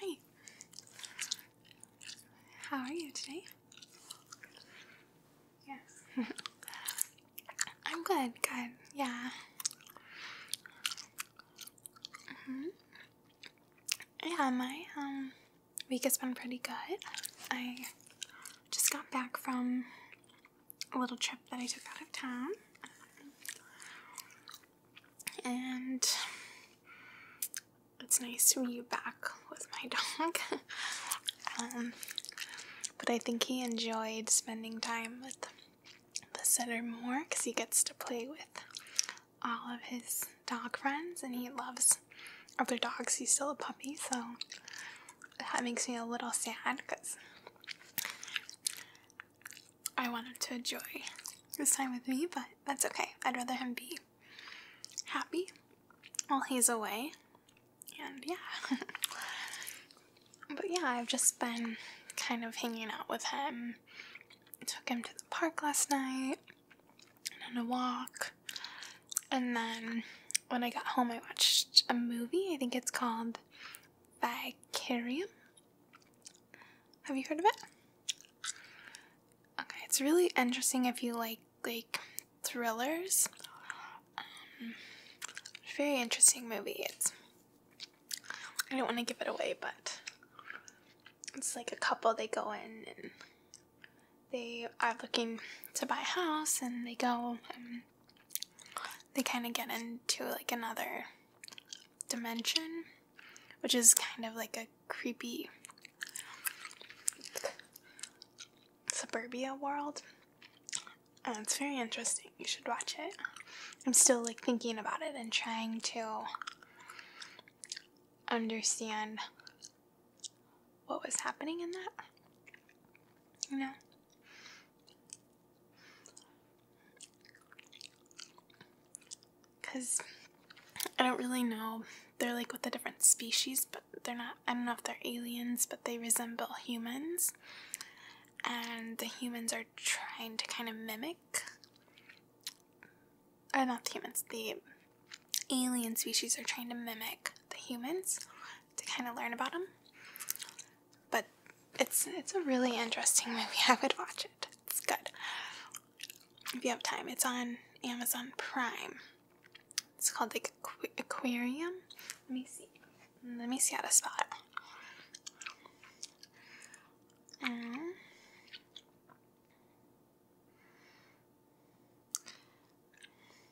Hi. How are you today? Yes. I'm good, good. Yeah. -hmm. Yeah, my um week has been pretty good. I just got back from a little trip that I took out of town and it's nice to be back with my dog. Um, but I think he enjoyed spending time with the center more because he gets to play with all of his dog friends and he loves other dogs. He's still a puppy, so that makes me a little sad because I wanted to enjoy his time with me, but that's okay. I'd rather him be happy while he's away. And yeah. but yeah, I've just been kind of hanging out with him. took him to the park last night and on a walk. And then when I got home, I watched a movie. I think it's called Vicarium have you heard of it? Okay, it's really interesting if you like like thrillers. Um, very interesting movie. It's I don't want to give it away, but it's like a couple. They go in and they are looking to buy a house, and they go and they kind of get into like another dimension, which is kind of like a creepy suburbia world. And it's very interesting. You should watch it. I'm still like thinking about it and trying to understand what was happening in that. You know? Because I don't really know. They're like with the different species, but they're not. I don't know if they're aliens, but they resemble humans. And the humans are trying to kind of mimic. Or not the humans, the alien species are trying to mimic the humans to kind of learn about them. But it's it's a really interesting movie. I would watch it. It's good. If you have time, it's on Amazon Prime. It's called like Aquarium. Let me see. Let me see how to spot it. Mm.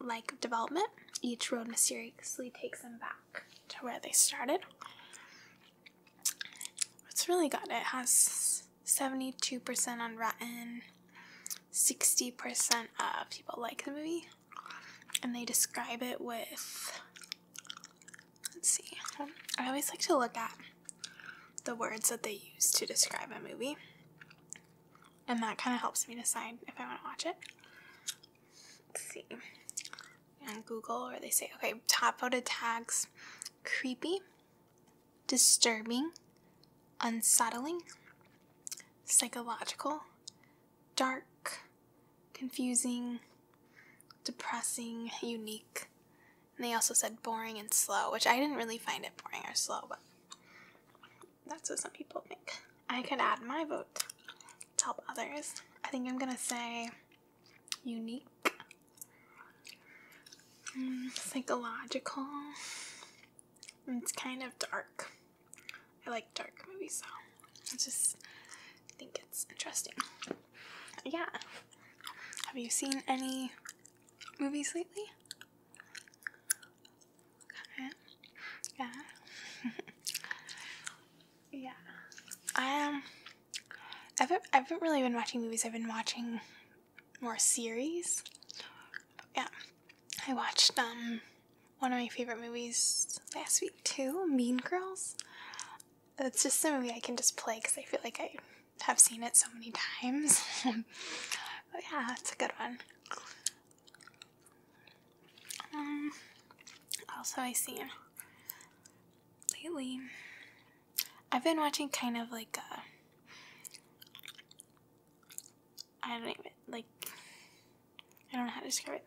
like development, each road mysteriously takes them back to where they started. It's really good. It has 72% on Rotten, 60% of people like the movie, and they describe it with. Let's see. I always like to look at the words that they use to describe a movie and that kind of helps me decide if I want to watch it. see. On Google, or they say, okay, top voted tags creepy, disturbing, unsettling, psychological, dark, confusing, depressing, unique. And they also said boring and slow, which I didn't really find it boring or slow, but that's what some people think. I could add my vote to help others. I think I'm gonna say unique, hmm, psychological. It's kind of dark. I like dark movies, so I just think it's interesting. Yeah. Have you seen any movies lately? Yeah. yeah. Um, I um I've I haven't really been watching movies. I've been watching more series. yeah. I watched um one of my favorite movies last week too, Mean Girls. That's just a movie I can just play because I feel like I have seen it so many times. yeah, that's a good one. Um, also, I see lately I've been watching kind of like a uh, I don't even like I don't know how to describe it.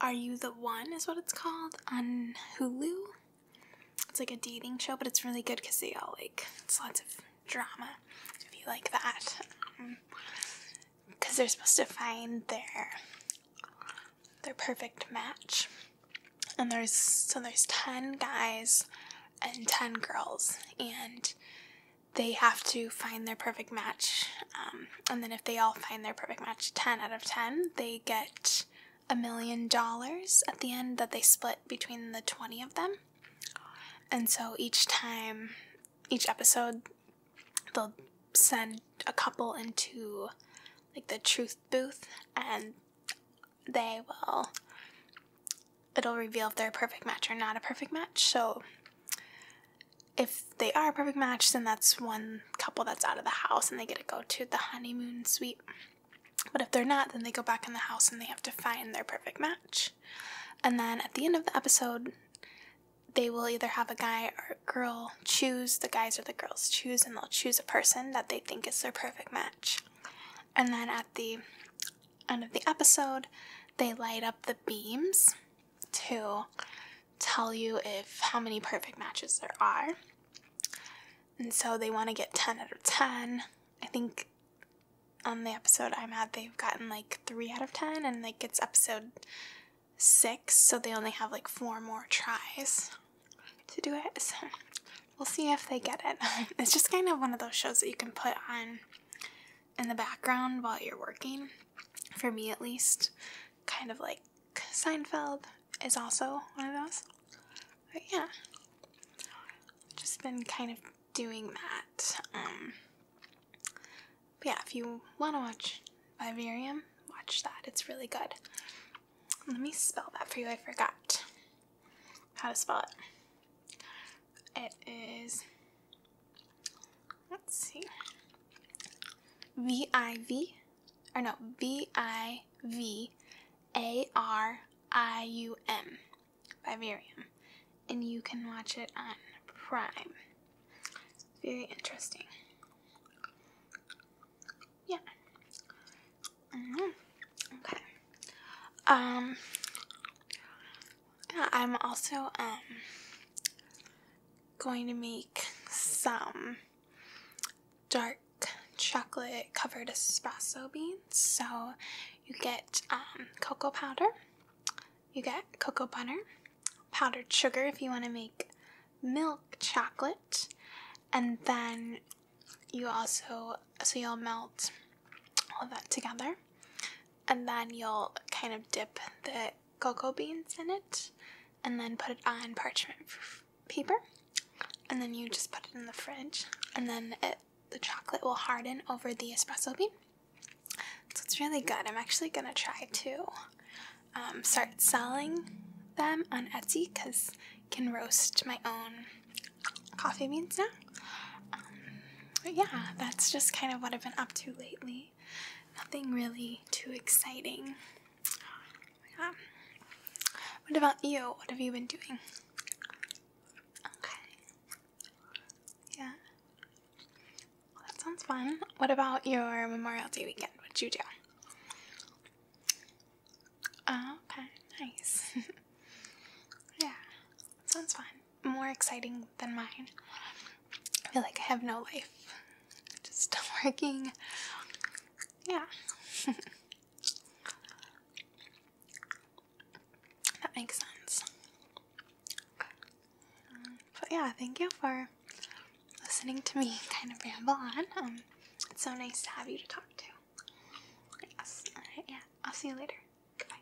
Are You the One is what it's called on Hulu. It's like a dating show, but it's really good because they all like it's lots of drama. If you like that, because um, they're supposed to find their their perfect match, and there's so there's ten guys and ten girls, and they have to find their perfect match. Um, and then if they all find their perfect match, ten out of ten, they get a million dollars at the end that they split between the 20 of them. And so each time, each episode, they'll send a couple into like the truth booth and they will, it'll reveal if they're a perfect match or not a perfect match. So if they are a perfect match, then that's one couple that's out of the house and they get to go to the honeymoon suite. But if they're not, then they go back in the house and they have to find their perfect match. And then at the end of the episode, they will either have a guy or a girl choose, the guys or the girls choose, and they'll choose a person that they think is their perfect match. And then at the end of the episode, they light up the beams to tell you if how many perfect matches there are and so they want to get 10 out of 10. I think on the episode I'm at, they've gotten like 3 out of 10, and like it's episode 6, so they only have like 4 more tries to do it. So we'll see if they get it. it's just kind of one of those shows that you can put on in the background while you're working, for me at least. Kind of like Seinfeld is also one of those. But yeah, just been kind of doing that. Um, but yeah, if you want to watch Vivarium, watch that. It's really good. Let me spell that for you. I forgot how to spell it. It is, let's see, V I V or no, V I V A R I U M And you can watch it on Prime. Very interesting. Yeah. Mm-hmm. Okay. Um, I'm also, um, going to make some dark chocolate covered espresso beans. So you get um, cocoa powder, you get cocoa butter, powdered sugar if you want to make milk chocolate, and then you also, so you'll melt all that together and then you'll kind of dip the Gogo beans in it and then put it on parchment paper and then you just put it in the fridge and then it, the chocolate will harden over the espresso bean so it's really good i'm actually going to try to um, start selling them on etsy because i can roast my own coffee beans now um, but yeah that's just kind of what i've been up to lately nothing really too exciting. Um, what about you? What have you been doing? Okay. Yeah. Well, that sounds fun. What about your Memorial Day weekend? What'd you do? Oh, okay, nice. yeah, sounds fun more exciting than mine. I feel like I have no life. Just working. Yeah. that makes sense. but yeah, thank you for listening to me kind of ramble on. Um, it's so nice to have you to talk to. Yes. yeah. I'll see you later. Goodbye.